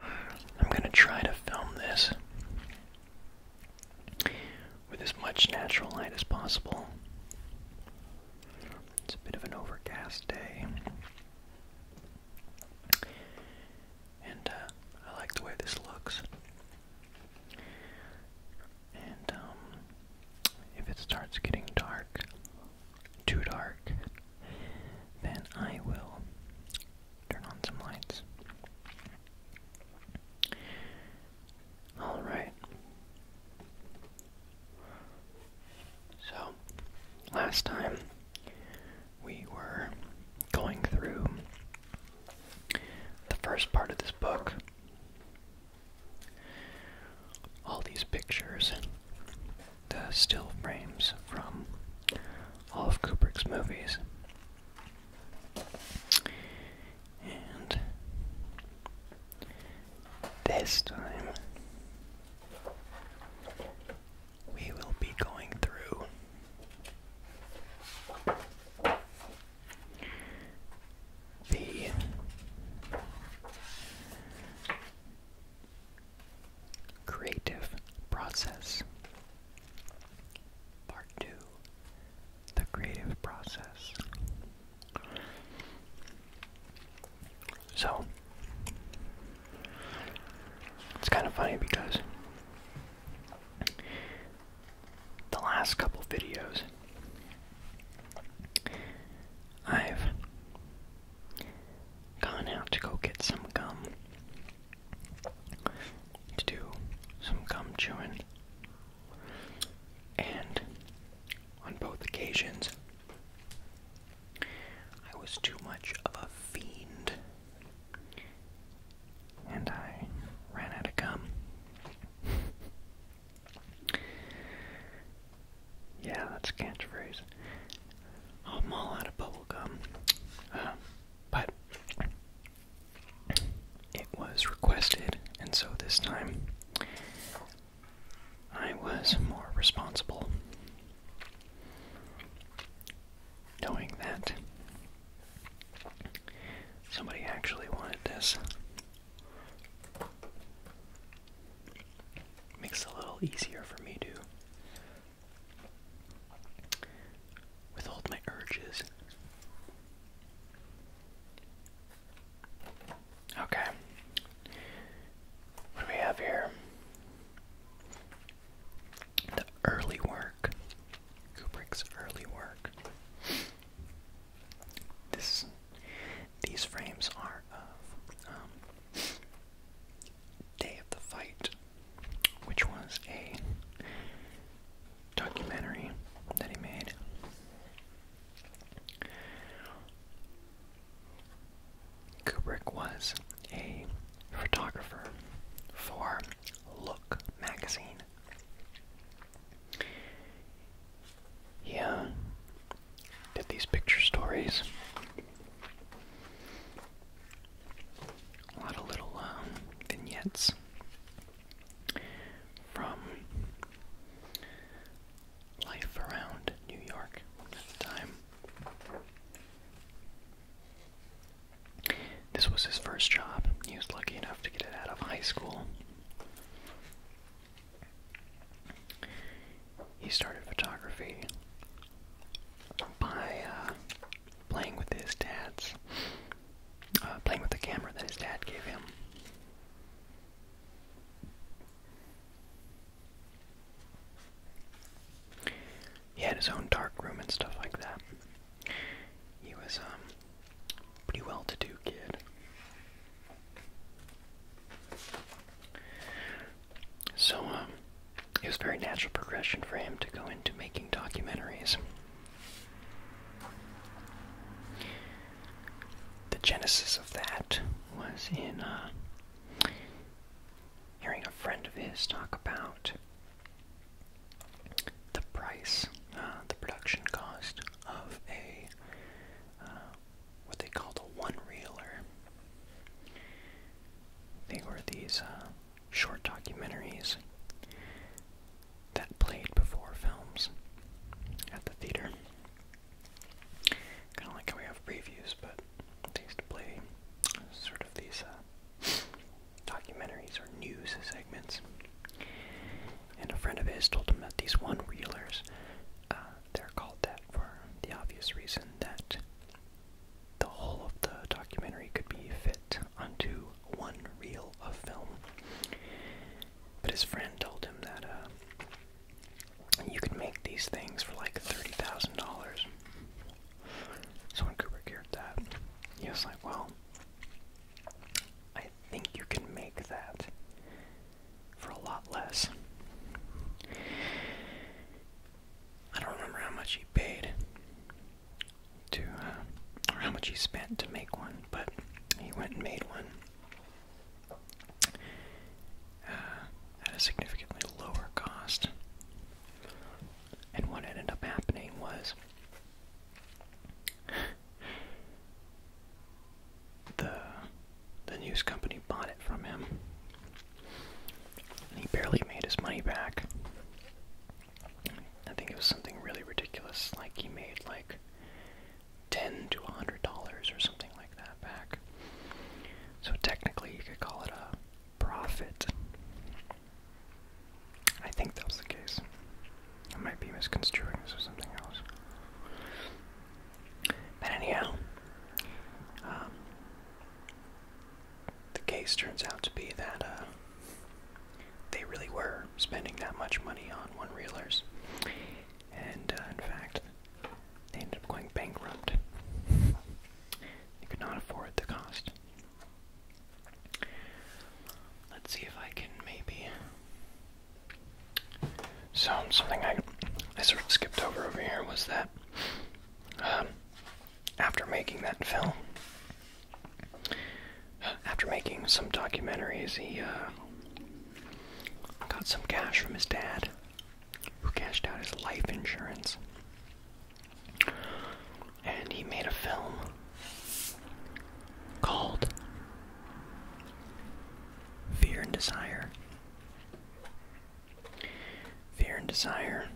I'm going to try to film this with as much natural light as possible. It's a bit of an overcast day. And uh, I like the way this looks. And um, if it starts getting dark, too dark, then I will turn on some lights. Alright. So, last time we were going through the first part of this book. All these pictures the still frames from all of Kubrick's movies. And this time we will be going through the creative process. Part 2 The creative process. So, it's kind of funny because the last couple videos I've gone out to go get some gum to do some gum chewing. And on both occasions, I was too much of a fiend. And I ran out of gum. yeah, that's a catchphrase. I'm all out of bubble gum. Uh, but it was requested, and so this time I was more responsible. Knowing that somebody actually wanted this makes it a little easier for me to Withhold my urges. Okay. What do we have here? The early work. Kubrick's early work. This, these frames are of um, Day of the Fight, which was a documentary that he made. Kubrick was a photographer for Look magazine. He uh, did these picture stories a lot of little um, vignettes from life around New York at the time. This was his first job. He was lucky enough to get it out of high school. He started photography by uh, playing with his dad's, uh, playing with the camera that his dad gave him. He had his own dark room and stuff like that. He was a um, pretty well-to-do kid. So um it was very natural progression for him to go into making documentaries. The genesis of that was in uh, hearing a friend of his talk about the price, uh, the production cost of a uh, what they called a one reeler. They were these short documentaries that played before films at the theater. Kind of like how we have previews, but they used to play sort of these uh, documentaries or news segments. And a friend of his told him that these one reelers, uh, they're called that for the obvious reason that the whole of the documentary could be fit onto one reel of film. But his friend told him that uh, you can make these things for like $30,000. So when Cooper heard that, he was like, well, I think you can make that for a lot less. I don't remember how much he paid, to, uh, how much he spent to make one, but he went and made one uh, at a significantly lower cost. And what ended up happening was the the news company bought it from him he barely made his money back. I think it was something really ridiculous, like he made like ten to a hundred dollars or something like that back. So technically, you could call it a profit. I think that was the case. It might be misconstruing this or something else. But anyhow, um, the case turns out to be that uh, they really were spending that much money on one reelers. And uh, in fact, they ended up going bankrupt. They could not afford the cost. Let's see if I can maybe. So, something I, I sort of skipped over over here was that um, after making that film, after making some documentaries, he uh, got some cash from his dad, who cashed out his life insurance. And he made a film called Fear and Desire. Fear and Desire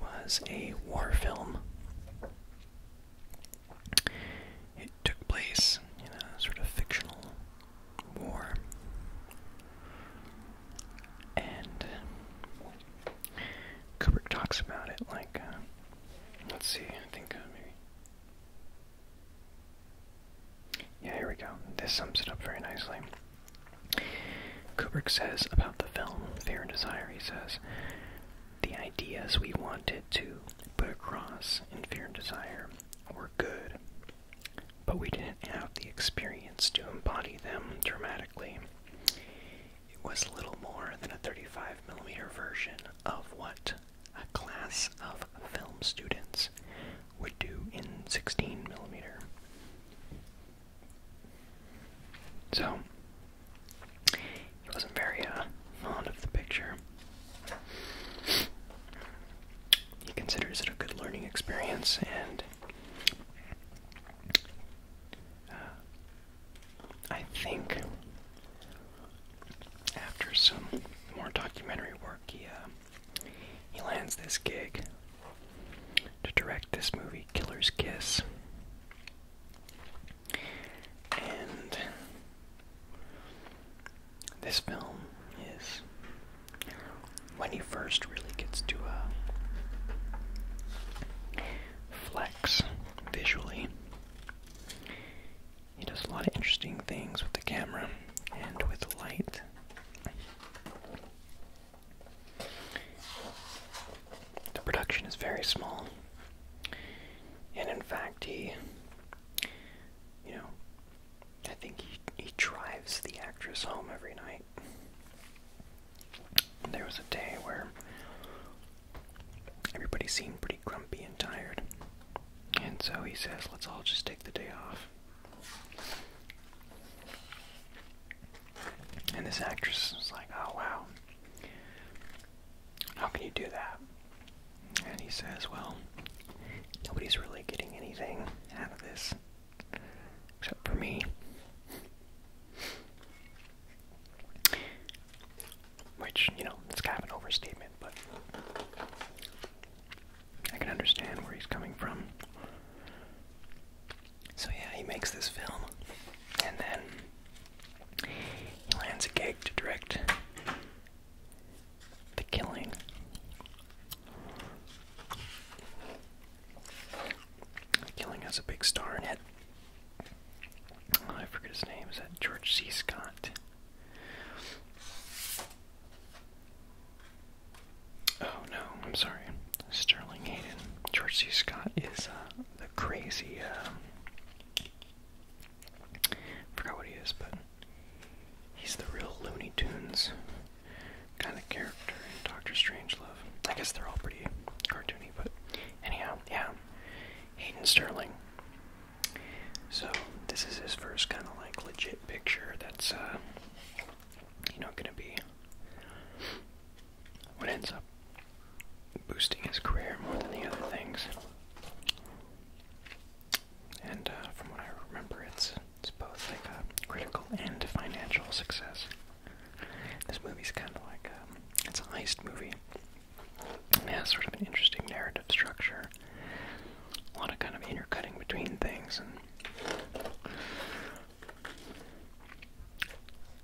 was a war film. It took place in a sort of fictional war. And Kubrick talks about it like, uh, let's see, I think uh, maybe. Yeah, here we go. This sums it up very nicely. Kubrick says about the film Fear and Desire, he says, the ideas we wanted to put across in Fear and Desire were good, but we didn't have the experience to embody them dramatically. It was little more than a 35 millimeter version of what a class of film students would do in 16 millimeter." So, he wasn't very uh, fond of the picture. He considers it a good learning experience and. Uh, I think after some more documentary work, he uh, he lands this gig to direct this movie, Killer's Kiss. And this film is when he first really gets to uh, flex visually. He does a lot of interesting things with the camera and with light. The production is very small. And in fact, he, you know, I think he, he drives the actress home every night. There was a day where everybody seemed pretty grumpy and tired. And so he says, let's all just take the day off. And this actress was like, oh wow, how can you do that? And he says, well, nobody's really getting anything out of this except for me. Which, you know, it's kind of an overstatement, but I can understand where he's coming from. So yeah, he makes this film, and then he lands a gig to direct The Killing. The Killing has a big star in it. Oh, I forget his name. Is that George C. Scott? Oh no, I'm sorry. Sterling Hayden. George C. Scott is uh, the crazy. Uh, forgot what he is, but he's the real Looney Tunes kind of character in Doctor Strangelove. I guess they're all pretty cartoony, but anyhow, yeah. Hayden Sterling. So this is his first kind of like legit picture that's uh, you know gonna be what ends up boosting his career more than the other things. And uh, from what I remember, it's it's both like a critical and financial success. This movie's kind of like um, a, it's an heist movie. It has sort of an interesting narrative structure, a lot of kind of intercutting between things, and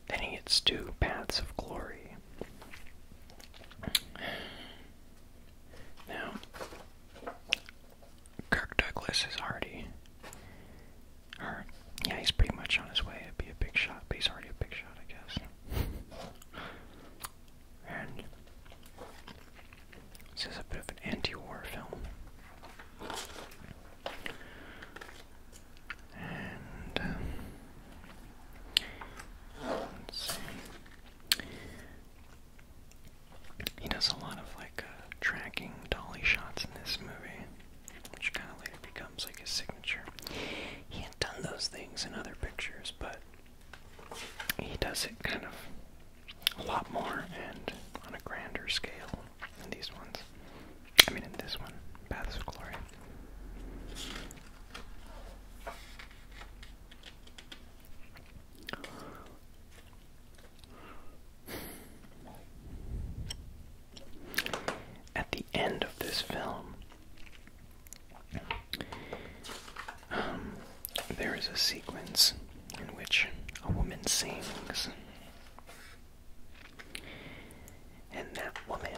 then he gets two Paths of Glory. Now, Kirk Douglas is already, yeah, he's pretty much on his way to be a big shot, but he's already a big shot, I guess. and this is a bit of an anti-war film. And um, let's see. He does a lot of like uh, tracking dolly shots in this movie, which kind of later becomes like his signature. He had done those things in other pictures, but he does it kind of a lot more and on a grander scale in these ones. I mean, in this one, Paths of Glory. At the end of this film, um, there is a sequence in which a woman sings and that woman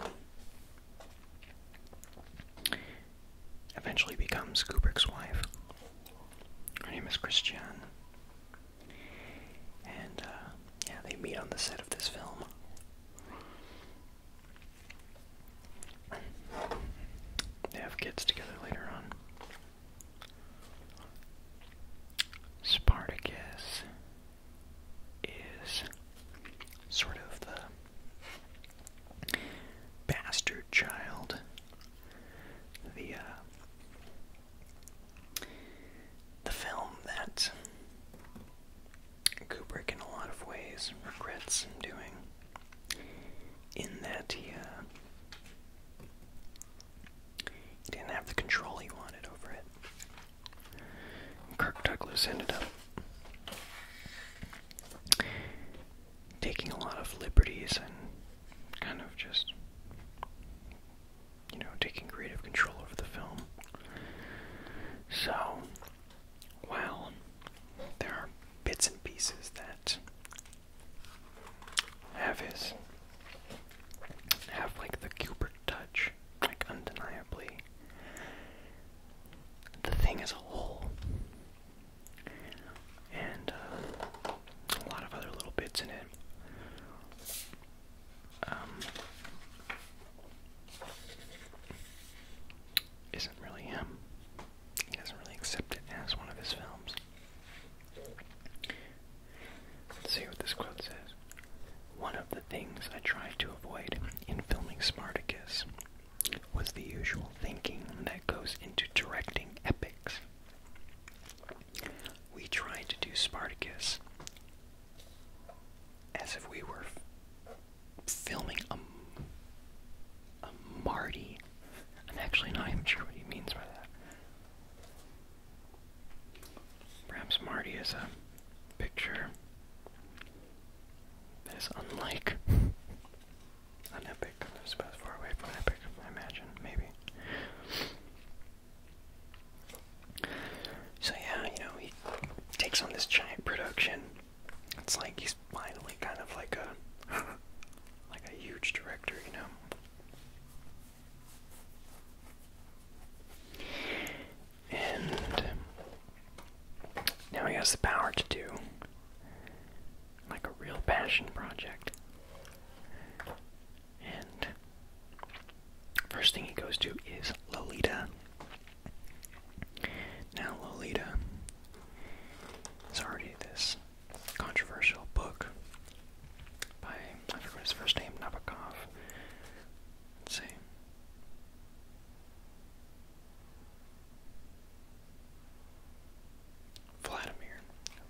eventually becomes Kubrick's wife. Her name is Christiane. And uh, yeah, they meet on the set of this film. They have kids together later on. Spartacus is sort of the bastard child, the uh, the film that Kubrick, in a lot of ways, regrets doing. In that he uh, he didn't have the control he wanted over it. Kirk Douglas ended up taking a lot of liberties and kind of just, you know, taking creative control over the film. So, while there are bits and pieces that have his have like the Gilbert touch, like undeniably. The thing as a whole, and uh, a lot of other little bits in it, um, not really him. He doesn't really accept it as one of his films. Let's see what this quote says. One of the things I tried to avoid in filming Spartacus was the usual thinking that goes into directing epics. We tried to do Spartacus as if we were filming a, a Marty. I'm actually not sure what he means by that. Perhaps Marty is a picture that is unlike an epic. It's about as far away from an epic, I imagine, maybe. So yeah, you know, he takes on this giant production. It's like he's finally kind of like a like a huge director, you know. And now he has the power to do like a real passion project. And first thing he goes to is Lolita. Now, Lolita is already this controversial book by I forgot his first name, Nabokov. Let's see. Vladimir.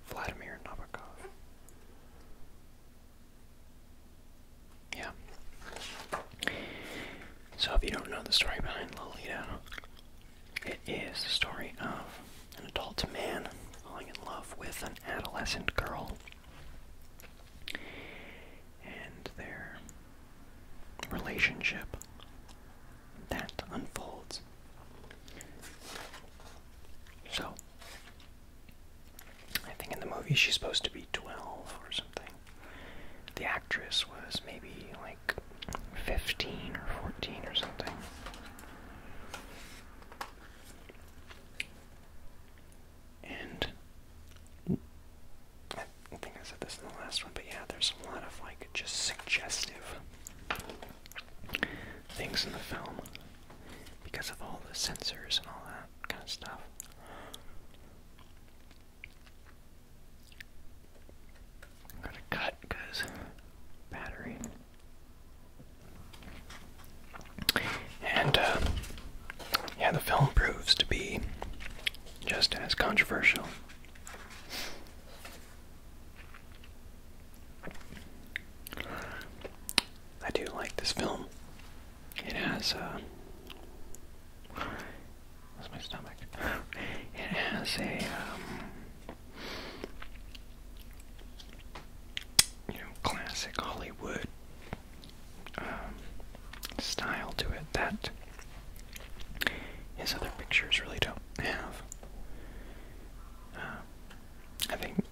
Vladimir Nabokov. Yeah. So if you don't know the story behind Lolita, it is the story of an adult man falling in love with an adolescent girl and their relationship that unfolds. So, I think in the movie she's supposed to be 12 or something. The actress was maybe like 15 or 14 or something. And I think I said this in the last one, but yeah, there's a lot of like just suggestive things in the film because of all the sensors and all that kind of stuff. i to cut because battery. And uh, yeah, the film proves to be just as controversial. I do like this film. It has, uh, what's my stomach? It has a, um, you know, classic Hollywood um, style to it that his other pictures really don't have. Um, I think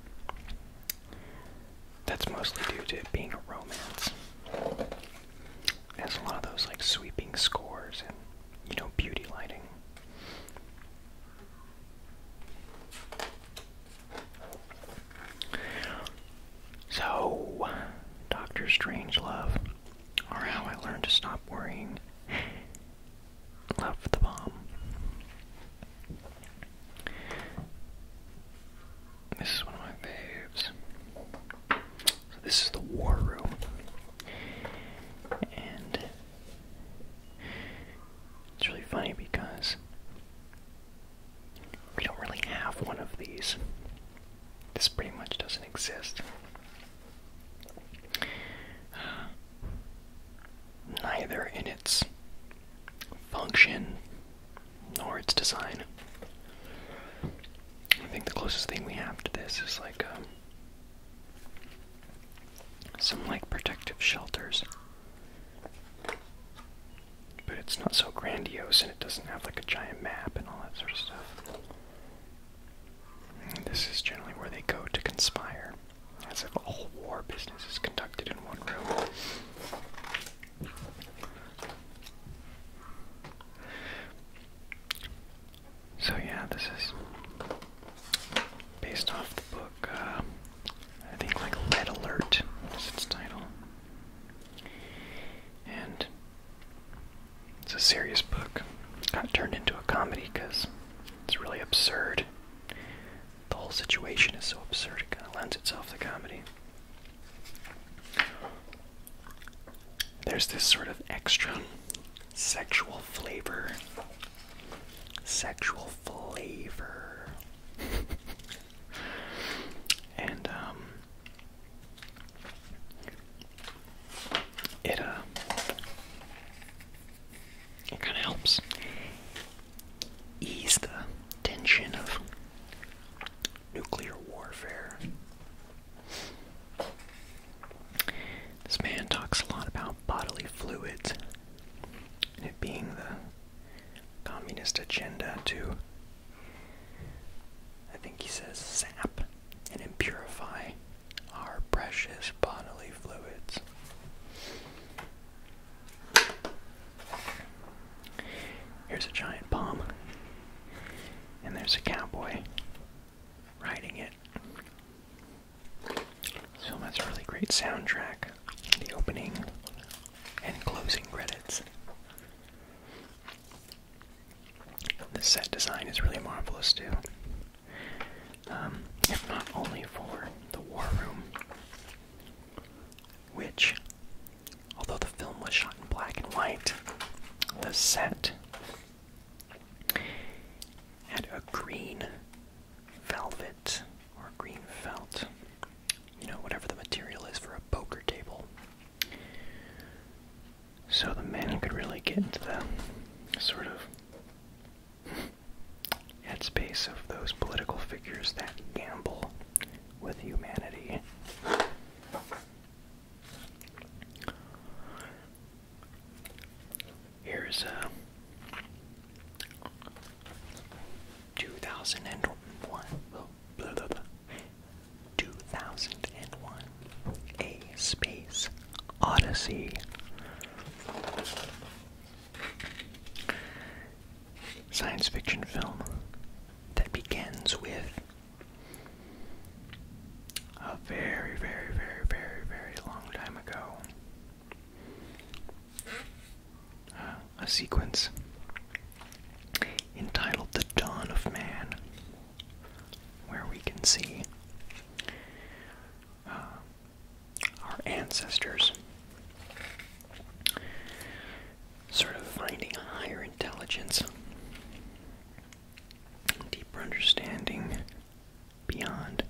that's mostly due to it being a romance. It has a lot of those like sweeping scores and you know beauty lighting. So, Doctor Strange, love, or how I learned to stop worrying, left the bomb. This is one of my faves. this is the war room, and it's really funny because we don't really have one of these. This pretty much doesn't exist. neither in its function nor its design. I think the closest thing we have to this is like um, some like protective shelters. But it's not so grandiose and it doesn't have like a giant map and all that sort of stuff. this is generally where they go to conspire, as if all war business is conducted in one room. So, yeah, this is based off the book. Uh, I think like Lead Alert is its title. And it's a serious book. Got turned into a comedy because it's really absurd. The whole situation is so absurd, it kind of lends itself to comedy. There's this sort of extra sexual flavor. Sexual flavor. and um, it uh, kind of helps ease the tension of nuclear warfare. This man talks a lot about bodily fluids, and it being the communist agenda to, I think he says, sap and impurify our precious bodily fluids. Here's a giant palm, and there's a cowboy riding it. This film has a really great soundtrack the opening and closing credits. The set design is really marvelous too. Um, if not only for the war room, which, although the film was shot in black and white, the set had a green velvet or green felt, you know, whatever the material is for a poker table. So the men could really get into the sort of headspace of those political figures that gamble with humanity. Here's a 2001, 2001, A Space Odyssey. Science fiction film that begins with a very, very, very, very, very long time ago a sequence entitled The Dawn of Man, where we can see uh, our ancestors sort of finding a higher intelligence, deeper understanding beyond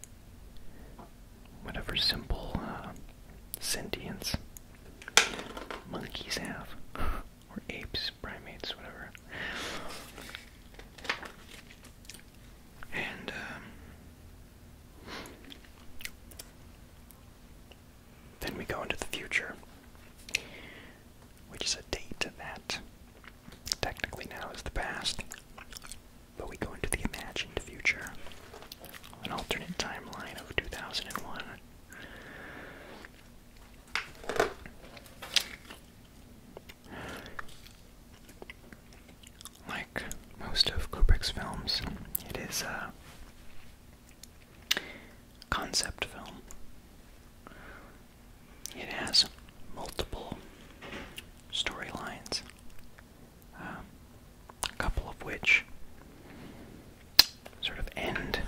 whatever simple uh, sentience monkeys have, or apes, primates, whatever. And um, then we go into the future, which is a date that technically now is the past, but we go into the imagined future an alternate timeline of 2001. Like most of Kubrick's films, it is a concept film. It has multiple storylines um, a couple of which sort of end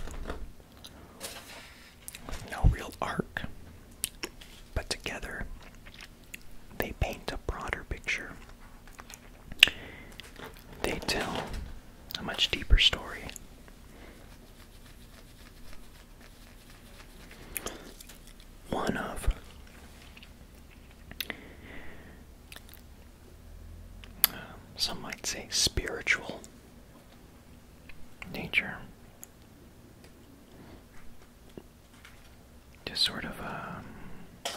with no real arc, but together they paint a broader picture. They tell a much deeper story. One of some might say spiritual nature. to sort of um,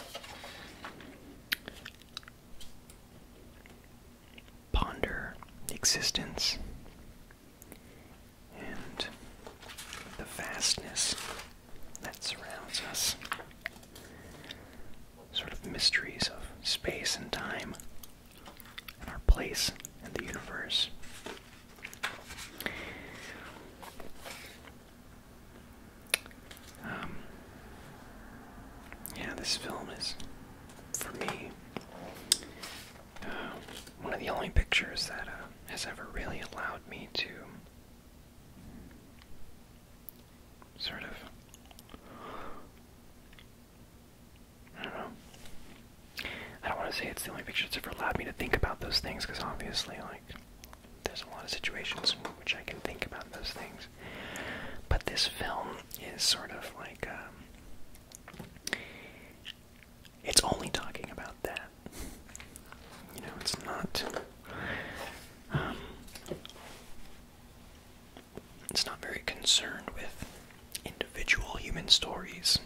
ponder existence and the vastness that surrounds us. Sort of mysteries of space and time and our place in the universe. Um, yeah, this film is, for me, uh, one of the only pictures that uh, has ever really allowed me to sort of. I don't know. I don't want to say it's the only picture that's ever allowed me to think about those things, because obviously, like, there's a lot of situations in which I can think about those things. But this film is sort of like, um, it's only talking about that. You know, it's not um, it's not very concerned with individual human stories.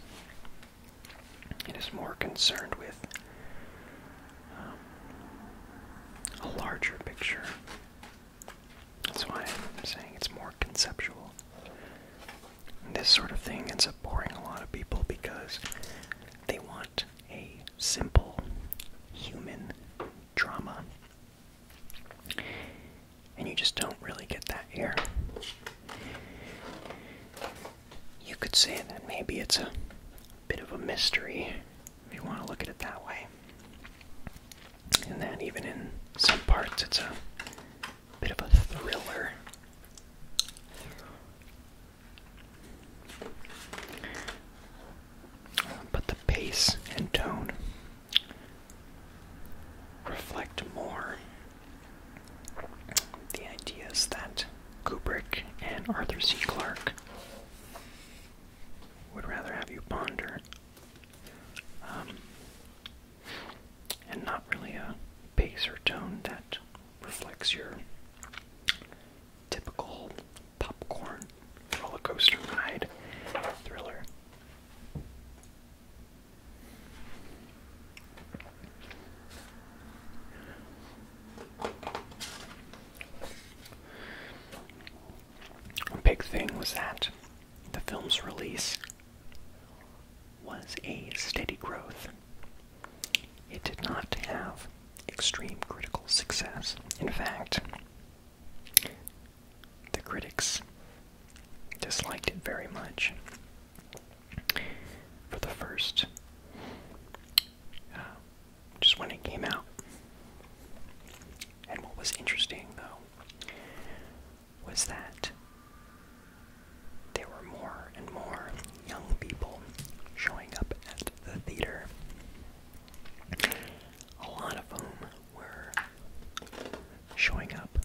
It is more concerned with um, a larger picture. That's why I'm saying it's more conceptual. this sort of thing ends up boring a lot of people because they want a simple human drama. And you just don't really get that here. You could say that maybe it's a bit of a mystery if you want to look at it that way. And then, even in some parts it's a bit of a thriller. But the pace and tone reflect more the ideas that Kubrick and Arthur C. Clarke would rather have you ponder. Um, and not really a pace or tone that reflects your typical popcorn roller coaster ride thriller. A big thing was that the film's release was a steady growth. It did not have extreme critical success. In fact, the critics disliked it very much. For the first, uh, just when it came out. And what was interesting, though, was that there were more and more young people showing up at the theater a lot of them were showing up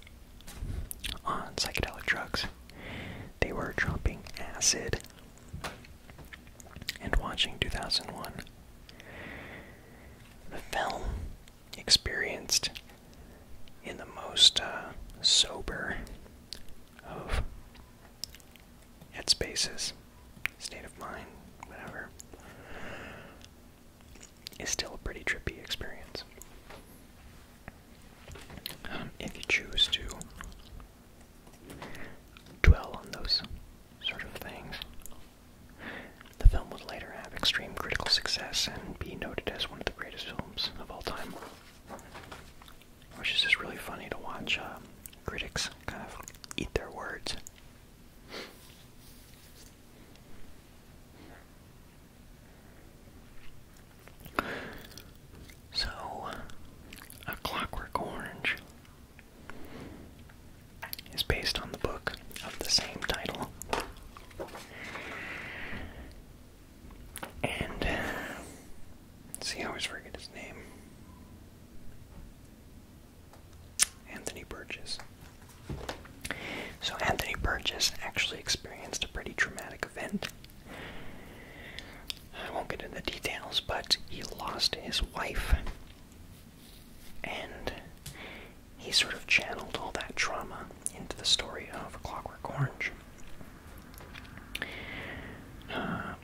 on psychedelic drugs. They were dropping acid and watching 2001. The film experienced in the most uh, sober of headspaces, state of mind, whatever, is still a pretty trippy experience. Um, if you choose to dwell on those sort of things, the film would later have extreme critical success and be noted as one of the greatest films of all time. Which is just really funny to watch uh, critics kind of eat their words so, A Clockwork Orange is based on the book of the same title. And see, I always forget his name. Anthony Burgess. So, Anthony Burgess actually experienced a pretty traumatic event. I won't get into the details, but he lost his wife. And he sort of channeled all that trauma into the story of Clockwork Orange. Uh,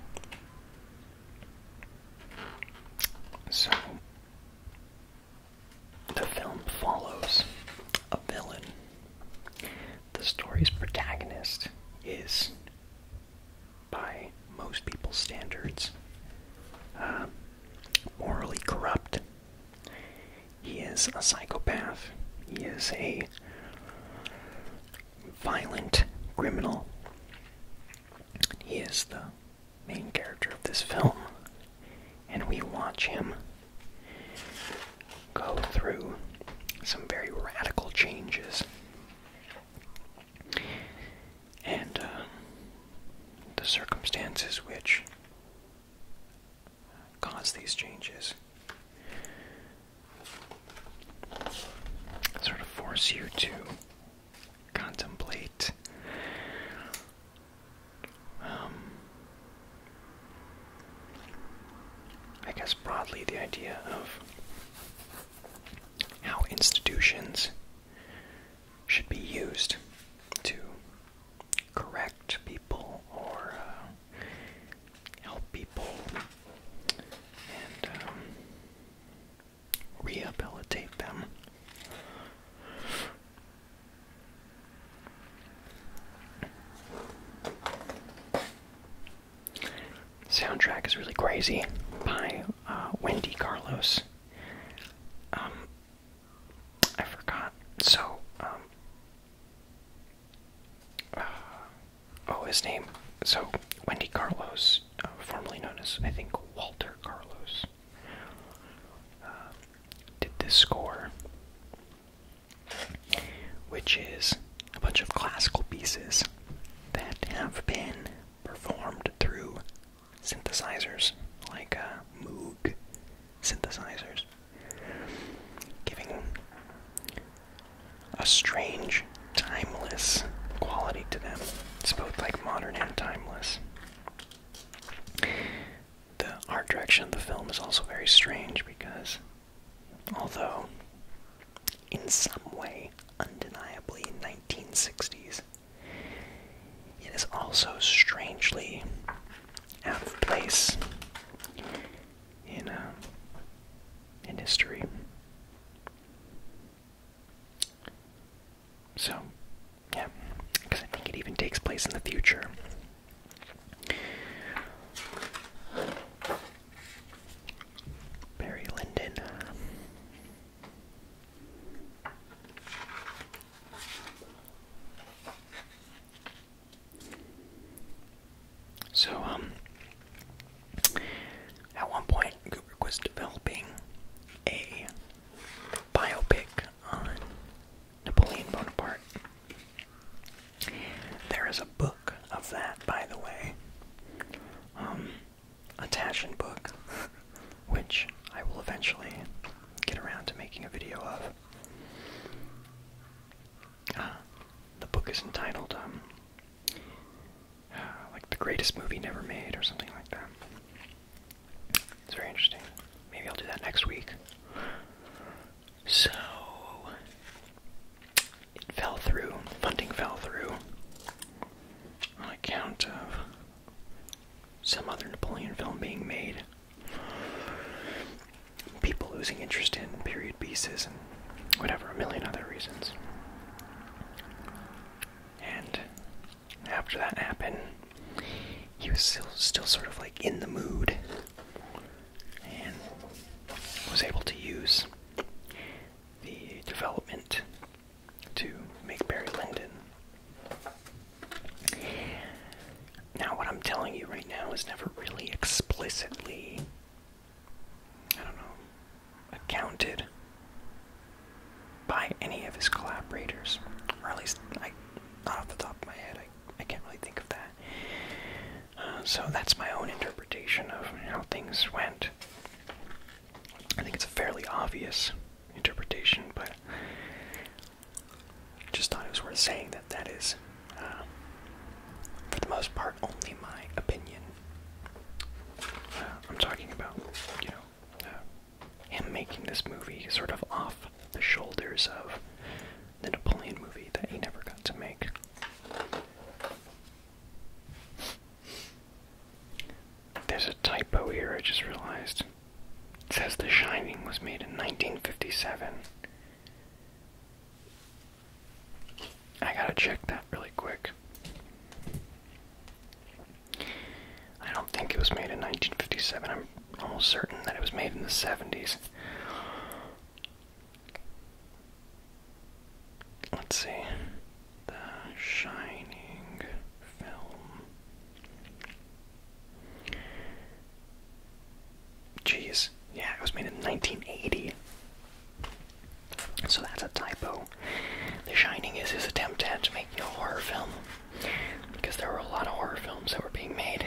so, the film follows a villain. The story's protagonist is, by most people's standards, uh, morally corrupt. He is a psychopath. He is a violent criminal. He is the main character of this film, and we watch him go through some very radical changes. And uh, the circumstances which cause these changes sort of force you to contemplate. Um, I guess broadly the idea of how institutions should be used to correct people or uh, help people um, rehabilitate them. Soundtrack is really crazy by uh, Wendy Carlos. Um, I forgot. So, um, uh, oh, his name. So, Wendy Carlos formerly known as, I think, Walter Carlos, uh, did this score, which is a bunch of classical pieces that have been performed through synthesizers, like uh, Moog synthesizers, giving a strange timeless quality to them. It's both like modern and timeless. The art direction of the film is also very strange because, although in some way undeniably 1960s, it is also strangely out of place in uh, in history. So, yeah, because I think it even takes place in the future. Barry Lyndon. So, um, at one point, Kubrick was developing a biopic on Napoleon Bonaparte. There is a book of that, by the way, um, a Taschen book, which I will eventually get around to making a video of. Uh, the book is entitled um, like the greatest movie never made or something like that. It's very interesting. Maybe I'll do that next week. So it fell through. Funding fell through on account of some other Napoleon film being made. People losing interest in period pieces and whatever, a million other reasons. And after that happened, he was still, still sort of like in the mood and was able to use the development to make Barry Lyndon. Now, what I'm telling you right now is never really explicitly, I don't know, accounted by any of his collaborators, or at least I, not off the top of my head, I, I can't really think of that. Uh, so that's my own interpretation of how things went. I think it's a fairly obvious interpretation, but just thought it was worth saying that that is, uh, for the most part, only my opinion. Uh, I'm talking about, you know, him making this movie sort of off the shoulders of the Napoleon movie that he never got to make. There's a typo here, I just realized. says The Shining was made in 1957. I gotta check that really quick. I don't think it was made in 1957. I'm almost certain that it was made in the 70s. Let's see. The Shining film. Jeez. Yeah, it was made in 1980. So that's a typo. The Shining is his attempt at making a horror film because there were a lot of horror films that were being made,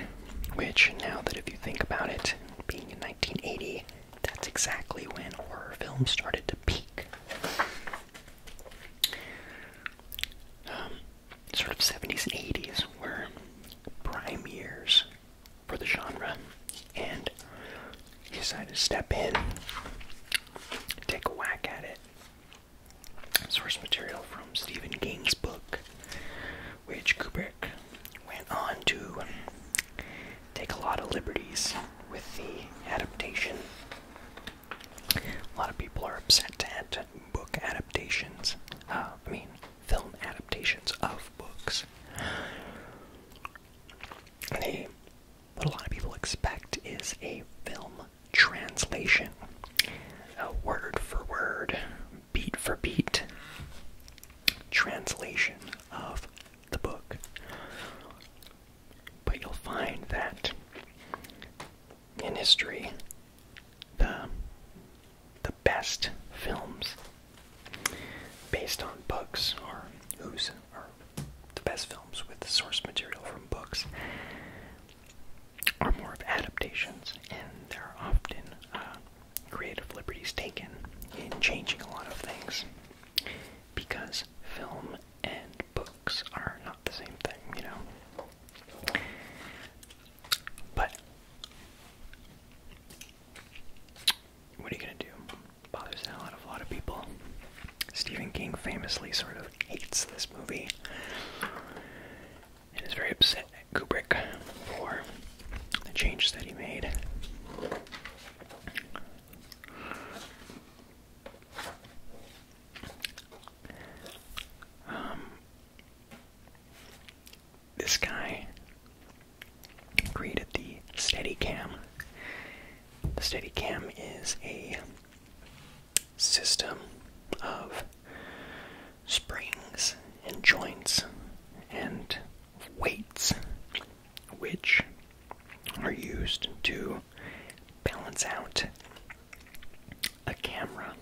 which now that if you think about it, being in 1980, that's exactly when horror films started to peak. Um, sort of 70s and 80s were prime years for the genre, and he decided to step in, take a whack at it. Source material from Stephen King's book, which Kubrick went on to take a lot of liberties with the adaptation. A lot of people are upset at book adaptations, uh, I mean, film adaptations of books. They what a lot of people expect is a film translation, a word for word, beat for beat translation of the book. But you'll find that in history, the the best films based on books are whose are the best films with source material from books are more of adaptations, and there are often uh, creative liberties taken in changing a lot of things because film and books are not the same thing, you know. But what are you gonna do? Bothers a lot of a lot of people. Stephen King famously sort of hates this movie and is very upset at Kubrick for the changes that he made. Um, this guy created the Steadicam. The Steadicam is a system of springs and joints and weights which are used to balance out a camera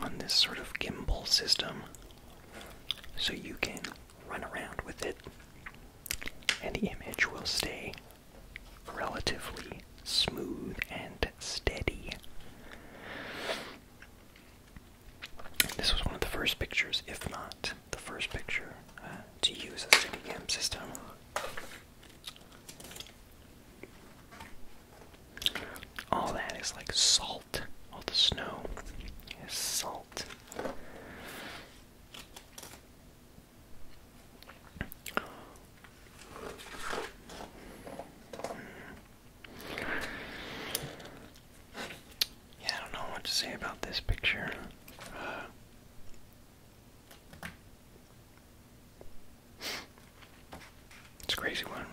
on this sort of gimbal system so you can run around with it and the image will stay relatively smooth and steady. this was one of the first pictures, if not the first picture, uh, to use a CineCam system. All that is like salt. All the snow is salt. Yeah, I don't know what to say about this picture. Uh, it's a crazy one.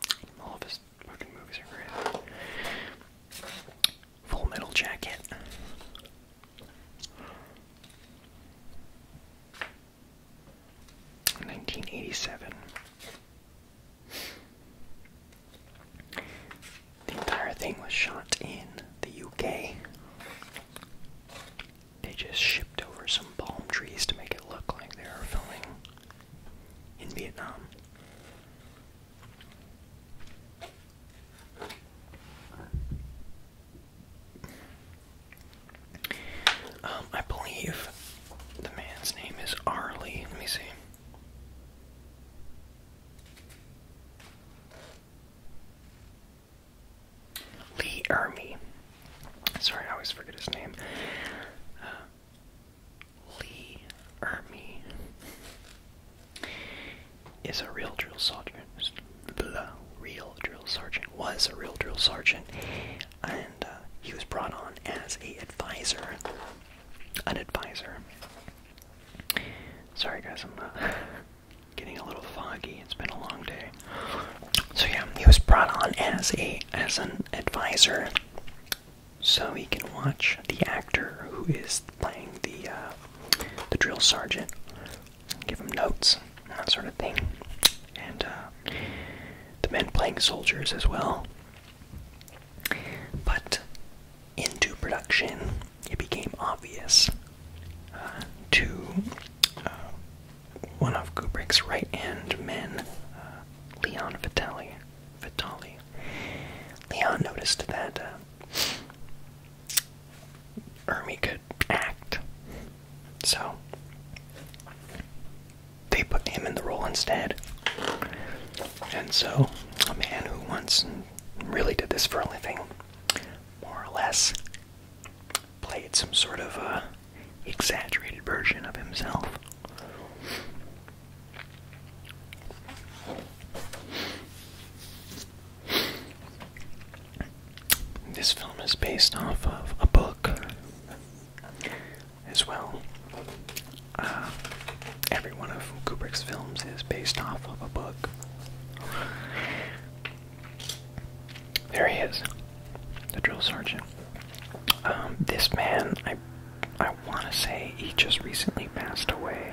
All of his fucking movies are crazy. Full Metal Jacket. Nineteen eighty seven. The entire thing was shot in the UK. They just shipped over some palm trees to make it look like they were filming in Vietnam. Um, I believe the man's name is Arlie. Let me see. Lee Ermey. Sorry, I always forget his name. Uh, Lee Ermey is a real drill sergeant. The real drill sergeant was a real drill sergeant, and uh, he was brought on as a advisor. An advisor. Sorry, guys, I'm uh, getting a little foggy. It's been a long day. So yeah, he was brought on as a as an advisor, so he can watch the actor who is playing the uh, the drill sergeant give them notes and that sort of thing. And uh, the men playing soldiers as well. But into production, it became obvious uh, to uh, one of Kubrick's right hand men, uh, Leon Vitali. Vitali. Leon noticed that uh, could act. So they put him in the role instead. And so a man who once really did this for a living, more or less, played some sort of uh, exaggerated version of himself. This film is based off of a book as well. Uh, every one of Kubrick's films is based off of a book. There he is, the drill sergeant. Um, this man, I, I want to say he just recently passed away.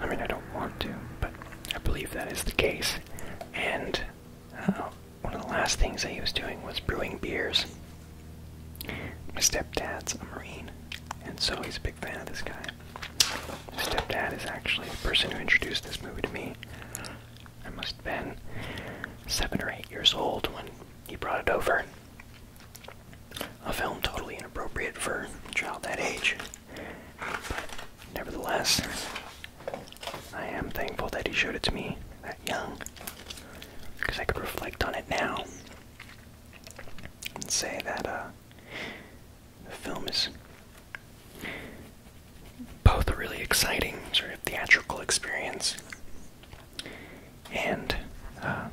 I mean, I don't want to, but I believe that is the case. And uh, one of the last things that he was doing was brewing beers. My stepdad's a Marine, and so he's a big fan of this guy. My stepdad is actually the person who introduced this movie to me. I must have been seven or eight years old when he brought it over. A film totally inappropriate for a child that age. Nevertheless, I am thankful that he showed it to me that young, because I could reflect on it now and say that uh, the film is both a really exciting sort of theatrical experience and uh,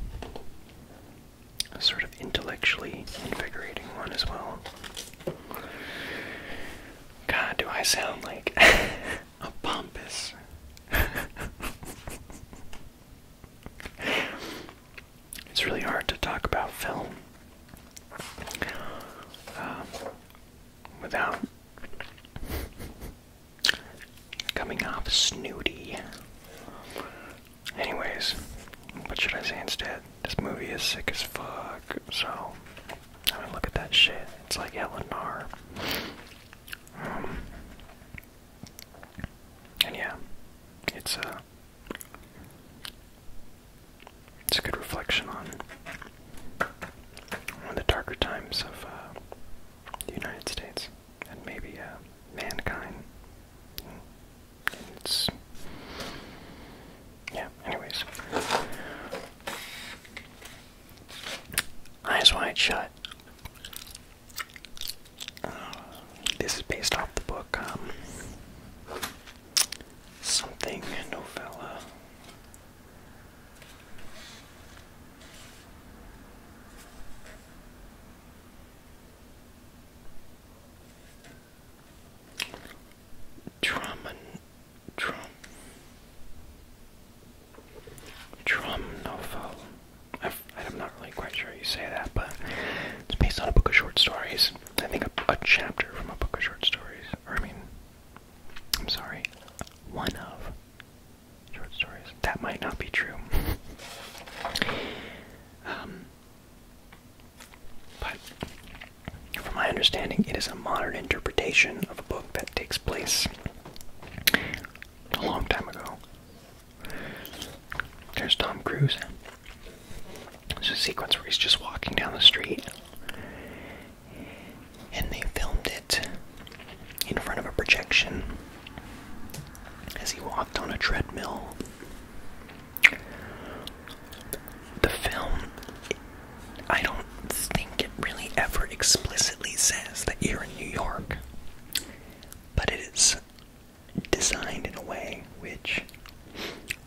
a sort of intellectually invigorating one as well. God, do I sound like a pompous. it's really hard to talk about film uh, without coming off snooty. Anyways, what should I say instead? This movie is sick as fuck, so I mean, look at that shit. It's like Eleanor. Um, and yeah, it's a uh, it's a good reflection on one of the darker times of uh, the United States and maybe uh, mankind yeah. Anyways, eyes wide shut. this is based off the book. Um, something novella. Drum and drum. Drum novel. I've, I'm not really quite sure you say that, but it's based on a book of short stories. I think a, a chapter from a book of short stories. Or, I mean, I'm sorry, one of short stories. That might not be true. um, but from my understanding, it is a modern interpretation of a book that takes place a long time ago. There's Tom Cruise. There's a sequence where he's just walking down the street. And they filmed it in front of a projection as he walked on a treadmill. The film, I don't think it really ever explicitly says that you're in New York, but it is designed in a way which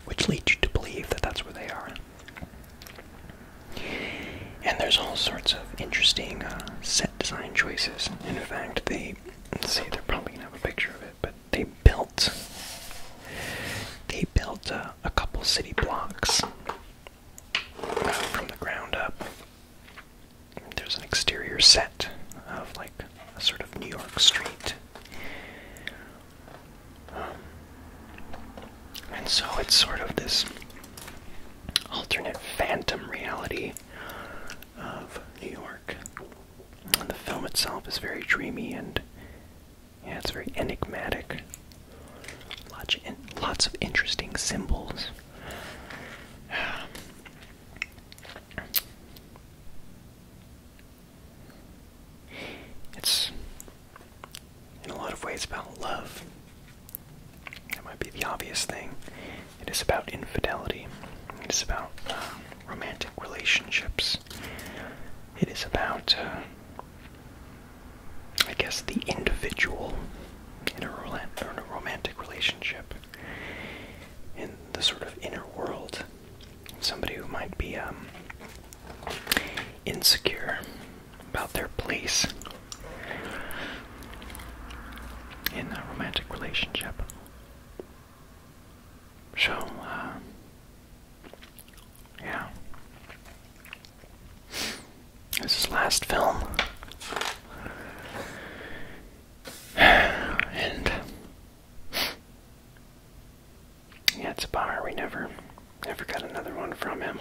which leads you to believe that that's where they are. And there's all sorts of interesting uh, set design choices. In fact, they say they're probably gonna have a picture of it, but they built they built a, couple city blocks from the ground up. There's an exterior set of like a sort of New York street. Um, and so it's sort of this alternate phantom reality of New York. And the film itself is very dreamy and yeah, it's very enigmatic. Lots of, interesting symbols. It's in a lot of ways about love. That might be the obvious thing. It is about infidelity. It is about um, romantic relationships. It is about, uh, I guess, the individual in a, romantic relationship, in the sort of inner world. Somebody who might be um, insecure about their place in a romantic relationship. So, uh, yeah. This is last film. And yeah, it's a bar. We never never got another one from him.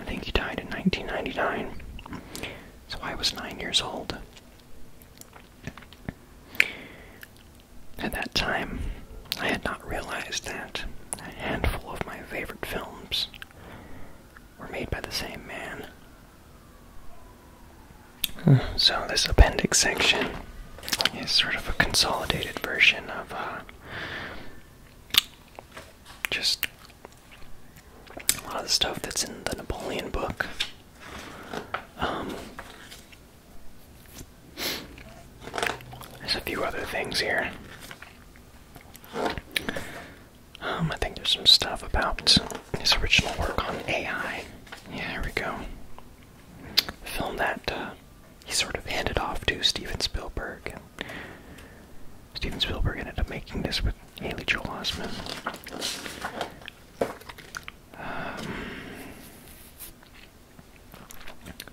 I think he died in 1999. So I was nine years old. At that time, I had not realized that a handful of my favorite films were made by the same man. So, this appendix section is sort of a consolidated version of uh, just a lot of the stuff that's in the Napoleon book. Um, there's a few other things here. Um, I think there's some stuff about his original work on AI. Yeah, here we go. film that uh, he sort of handed off to Steven Spielberg. And Steven Spielberg ended up making this with Haley Joel Osment. Um,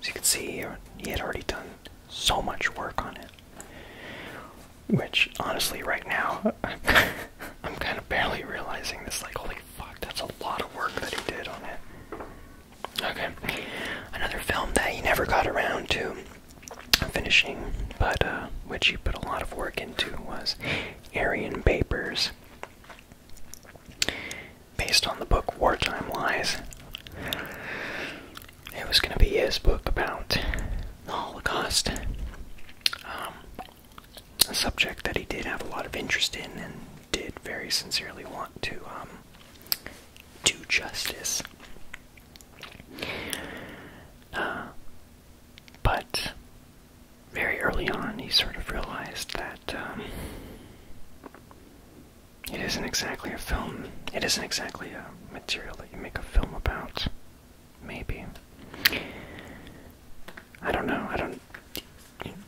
as you can see, he had already done so much work on it. Which, honestly, right now, I'm kind of barely realizing this. Like, holy fuck, that's a lot of work that he did on it. Okay, another film that he never got around to finishing, but uh, which he put a lot of work into was Aryan Papers. Based on the book Wartime Lies, it was going to be his book about the Holocaust. Um, a subject that he did have a lot of interest in and did very sincerely want to um, do justice. Uh, but very early on, he sort of realized that um, it isn't exactly a film. It isn't exactly a material that you make a film about. Maybe. I don't know. I don't.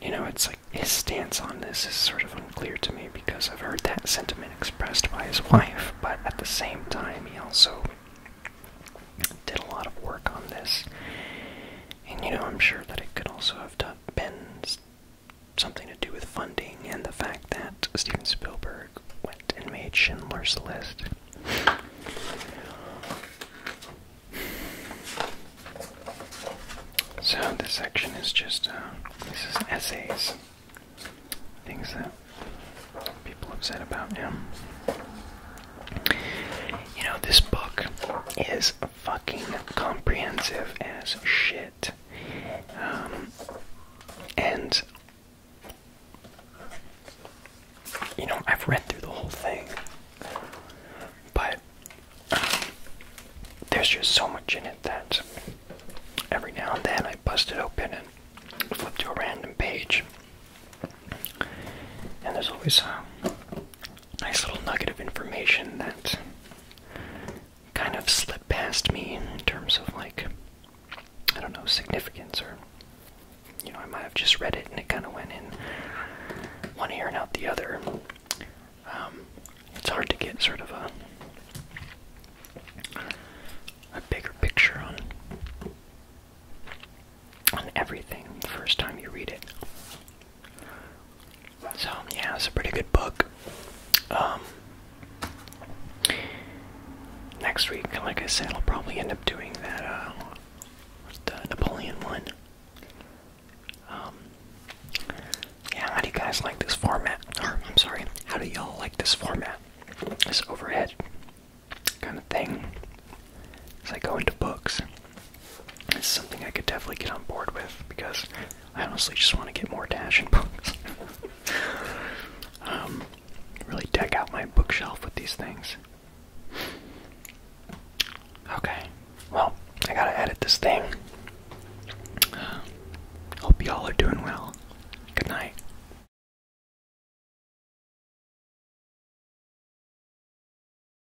You know, it's like his stance on this is sort of unclear to me because I've heard that sentiment expressed by his wife, but at the same time, he also did a lot of work on this and you know, I'm sure that it could also have done, been something to do with funding and the fact that Steven Spielberg went and made Schindler's List. So this section is just uh, this is essays, things that people have said about him. You know, this book is fucking comprehensive as shit. Um, and, you know, I've read through the whole thing, but um, there's just so much in it that every now and then I bust it open and flip to a random page. And there's always uh, nice little nugget of information that kind of slipped past me in terms of like I don't know significance or you know I might have just read it and it kind of went in one ear and out the other. Um, it's hard to get sort of a a bigger picture on on everything the first time you read it. So yeah, it's a pretty good book. Um, next week, like I said, I'll probably end up doing that. Uh, what's Napoleon one? Um, yeah, how do you guys like this format? Or I'm sorry, how do y'all like this format? This overhead kind of thing as I go into books. It's something I could definitely get on board with because I honestly just want to get more dash in books. um, really deck out my bookshelf with these things. Okay, well, I gotta edit this thing. hope y'all are doing well. Good night.